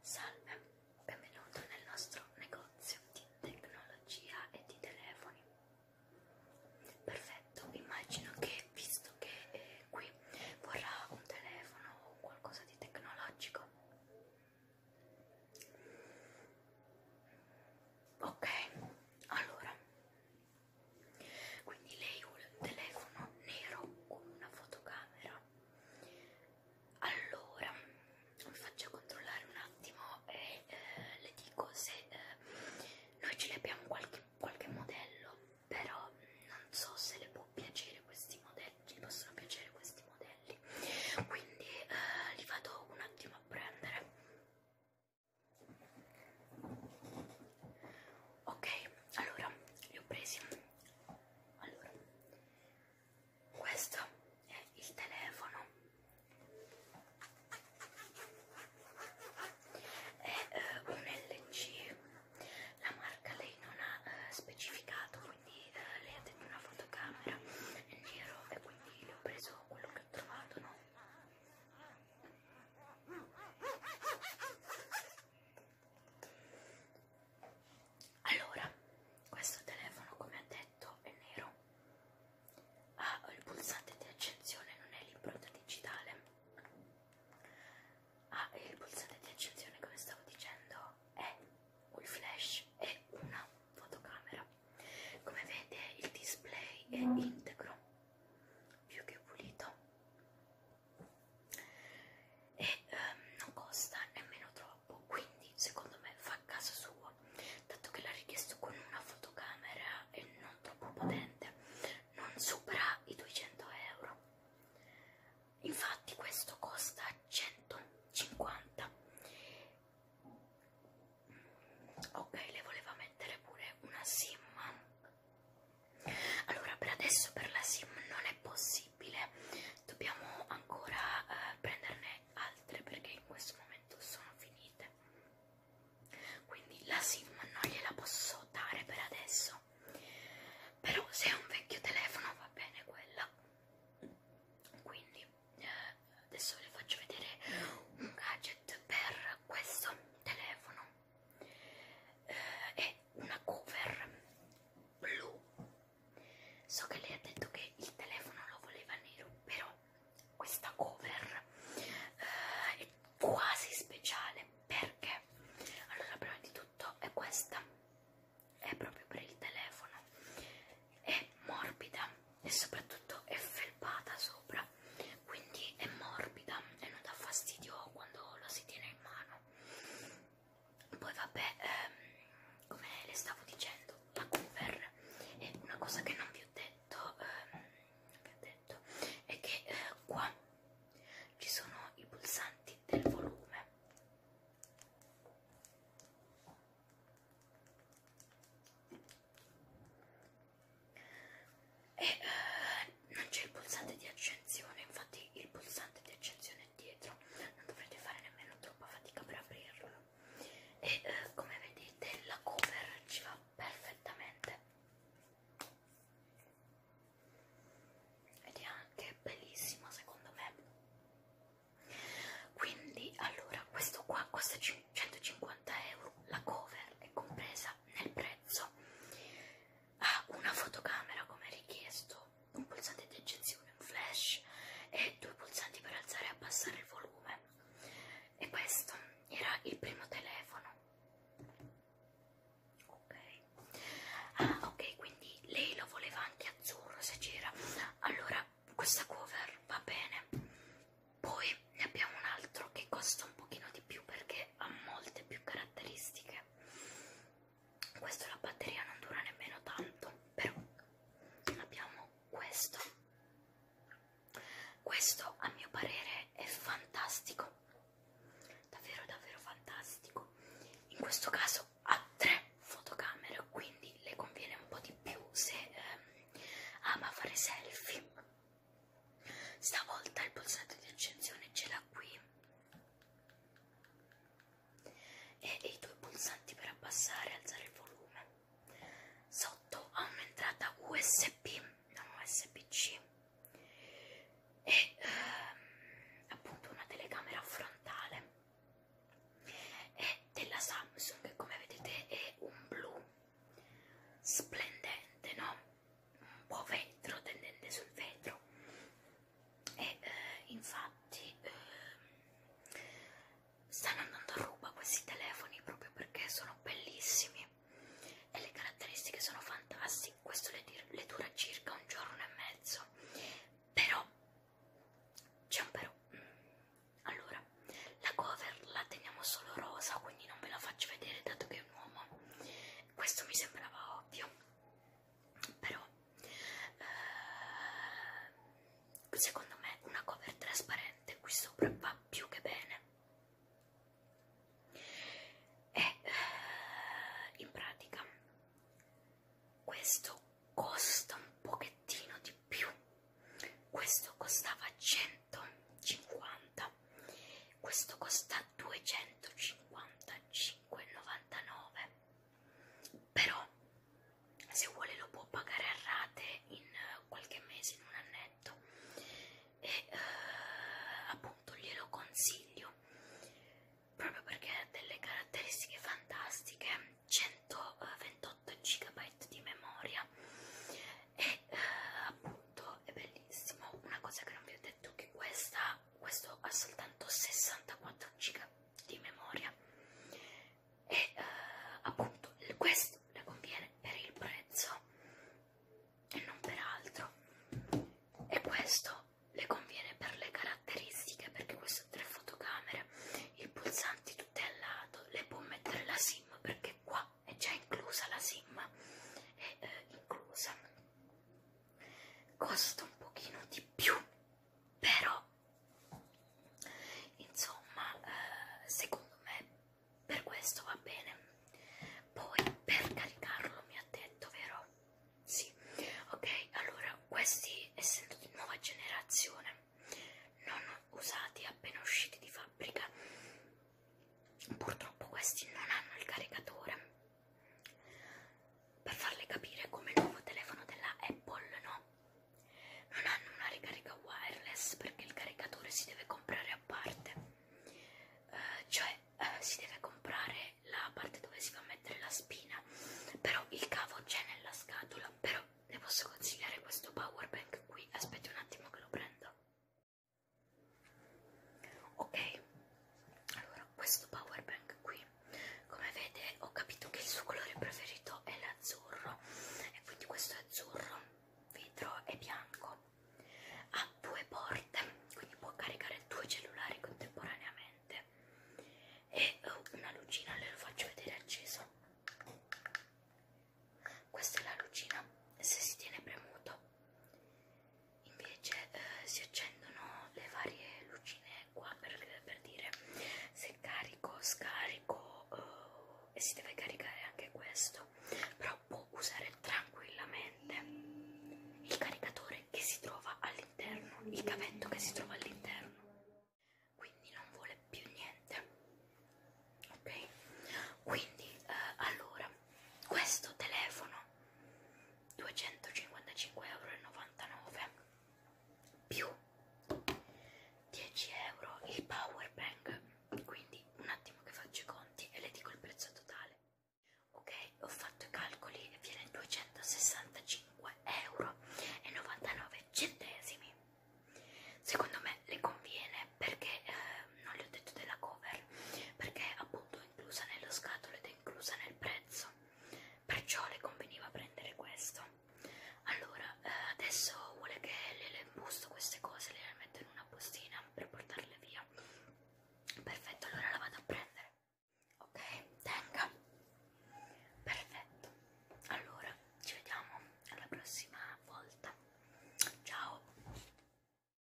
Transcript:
Salve, benvenuto nel nostro negozio di tecnologia e di telefoni. Perfetto, immagino che visto che eh, qui vorrà un telefono o qualcosa di tecnologico. Ok, allora quindi lei vuole un telefono nero con una fotocamera allora vi faccio controllare un attimo e eh, le dico se eh, noi ce li abbiamo qualche, qualche modello però non so se le può piacere questi modelli ci possono piacere questi modelli quindi eh, li vado un attimo a prendere ok allora li ho presi allora questo è il telefono è eh, un LG la marca lei non ha eh, specificato quindi eh, lei ha detto una fotocamera in giro e quindi le ho preso quello che ho trovato no allora, questo telefono come ha detto è nero, ha ah, il pulsante di accensione, non è l'impronta digitale, ha ah, il pulsante di accensione come stavo dicendo è un flash e una fotocamera. Come vede il display è integro più che pulito e ehm, non costa nemmeno troppo quindi secondo me fa caso suo dato che l'ha richiesto con una fotocamera e non troppo potente non supera i 200 euro infatti questo costa 150 ok le voleva mettere pure una sim allora per adesso per la sim non è possibile dobbiamo ancora eh, prenderne altre perché in questo momento sono finite quindi la sim non gliela posso dare per adesso però se è un vecchio telefono va bene quella quindi eh, adesso vi faccio vedere un gadget per questo telefono eh, è una cover blu so che lei ha detto che il telefono lo voleva nero però questa cover eh, è quasi speciale perché allora prima di tutto è questa è proprio per il telefono è morbida e soprattutto è felpata sopra quindi è morbida e non dà fastidio quando la si tiene in mano. Poi vabbè, ehm, come le stavo dicendo, la Cooper è una cosa che non vi ho detto, ehm, vi ho detto è che eh, qua ci sono i pulsanti del volume e eh, eh, non c'è il pulsante di accensione infatti il pulsante di accensione è dietro non dovrete fare nemmeno troppa fatica per aprirlo e eh, come vedete la cover ci va perfettamente ed è anche bellissima secondo me quindi allora questo qua costa 5 150 euro la cover è compresa nel prezzo ha una fotocamera come richiesto un pulsante di eccezione un flash e due pulsanti per alzare e abbassare il volume e questo era il primo telefono ok ah ok quindi lei lo voleva anche azzurro se c'era allora questa cover va bene poi ne abbiamo un altro che costa un pochino di più perché ha molte più caratteristiche questo la batteria non dura nemmeno tanto però abbiamo questo questo a mio parere è fantastico davvero davvero fantastico in questo caso ha tre fotocamere quindi le conviene un po' di più se ehm, ama fare selfie Stavolta il pulsante di accensione ce l'ha qui e i due pulsanti per abbassare e alzare il volume. Sotto ha un'entrata USB, non USB-C e ehm, appunto una telecamera frontale è della Samsung come vedete è un blu splendente no un po' vetro, tendente sul vetro e eh, infatti eh, stanno andando a ruba questi telefoni proprio perché sono bellissimi e le caratteristiche sono fantastiche, questo le, le dura circa un giorno e mezzo, però c'è un però. Mm, allora, la cover la teniamo solo rosa, quindi non ve la faccio vedere dato che un uomo. Questo mi sembrava ovvio, però eh, secondo me una cover trasparente qui sopra va più che bene. E eh, in pratica questo costa un pochettino di più. Questo costava 100 150 questo costa 255,99 però se vuole lo può pagare a rate in eh, qualche mese in un annetto e eh, appunto glielo consiglio proprio perché ha delle caratteristiche fantastiche 128 eh, GB di memoria e eh, appunto è bellissimo una cosa che non vi ho detto che questa questo ha soltanto 64 giga di memoria e eh, appunto questo le conviene per il prezzo e non per altro e questo le conviene per le caratteristiche perché questo ha tre fotocamere il pulsante tutto è al lato le può mettere la sim perché qua è già inclusa la sim, è eh, inclusa, costa un pochino di più, però insomma eh, secondo me per questo va bene. Poi per caricarlo mi ha detto, vero? Sì, ok, allora questi essendo di nuova generazione non usati appena usciti di fabbrica Purtroppo questi non hanno il caricatore per farle capire come il nuovo telefono della Apple no non hanno una ricarica wireless perché il caricatore si deve comprare a parte eh, cioè eh, si deve comprare la parte dove si fa mettere la spina però il cavo c'è nella scatola però le posso consigliare questo power bank qui aspetti un attimo che lo prendo ok allora questo power bank qui come vede ho capito che il suo colore preferito è l'azzurro e quindi questo è azzurro vetro e bianco ha due porte quindi può caricare due cellulari contemporaneamente e uh, una lucina le lo faccio vedere acceso questa è la lucina se si tiene premuto invece eh, si accendono le varie lucine qua per, per dire se carico scarico eh, e si deve caricare anche questo però può usare tranquillamente il caricatore che si trova all'interno il cavetto che si trova all'interno quindi non vuole più niente ok quindi eh, allora questo telefono 255,99 euro più 10 euro il power bank quindi un attimo che faccio i conti e le dico il prezzo totale ok ho fatto i calcoli e viene 265 euro e 99 centesimi secondo me le conviene perché eh, non le ho detto della cover perché appunto inclusa nella scatola ed è inclusa nel prezzo perciò le conveniva prendere questo allora eh, adesso vuole che le, le imbusto queste cose le metto in una bustina per portarle via perfetto allora la vado a prendere ok tenga perfetto allora ci vediamo alla prossima volta ciao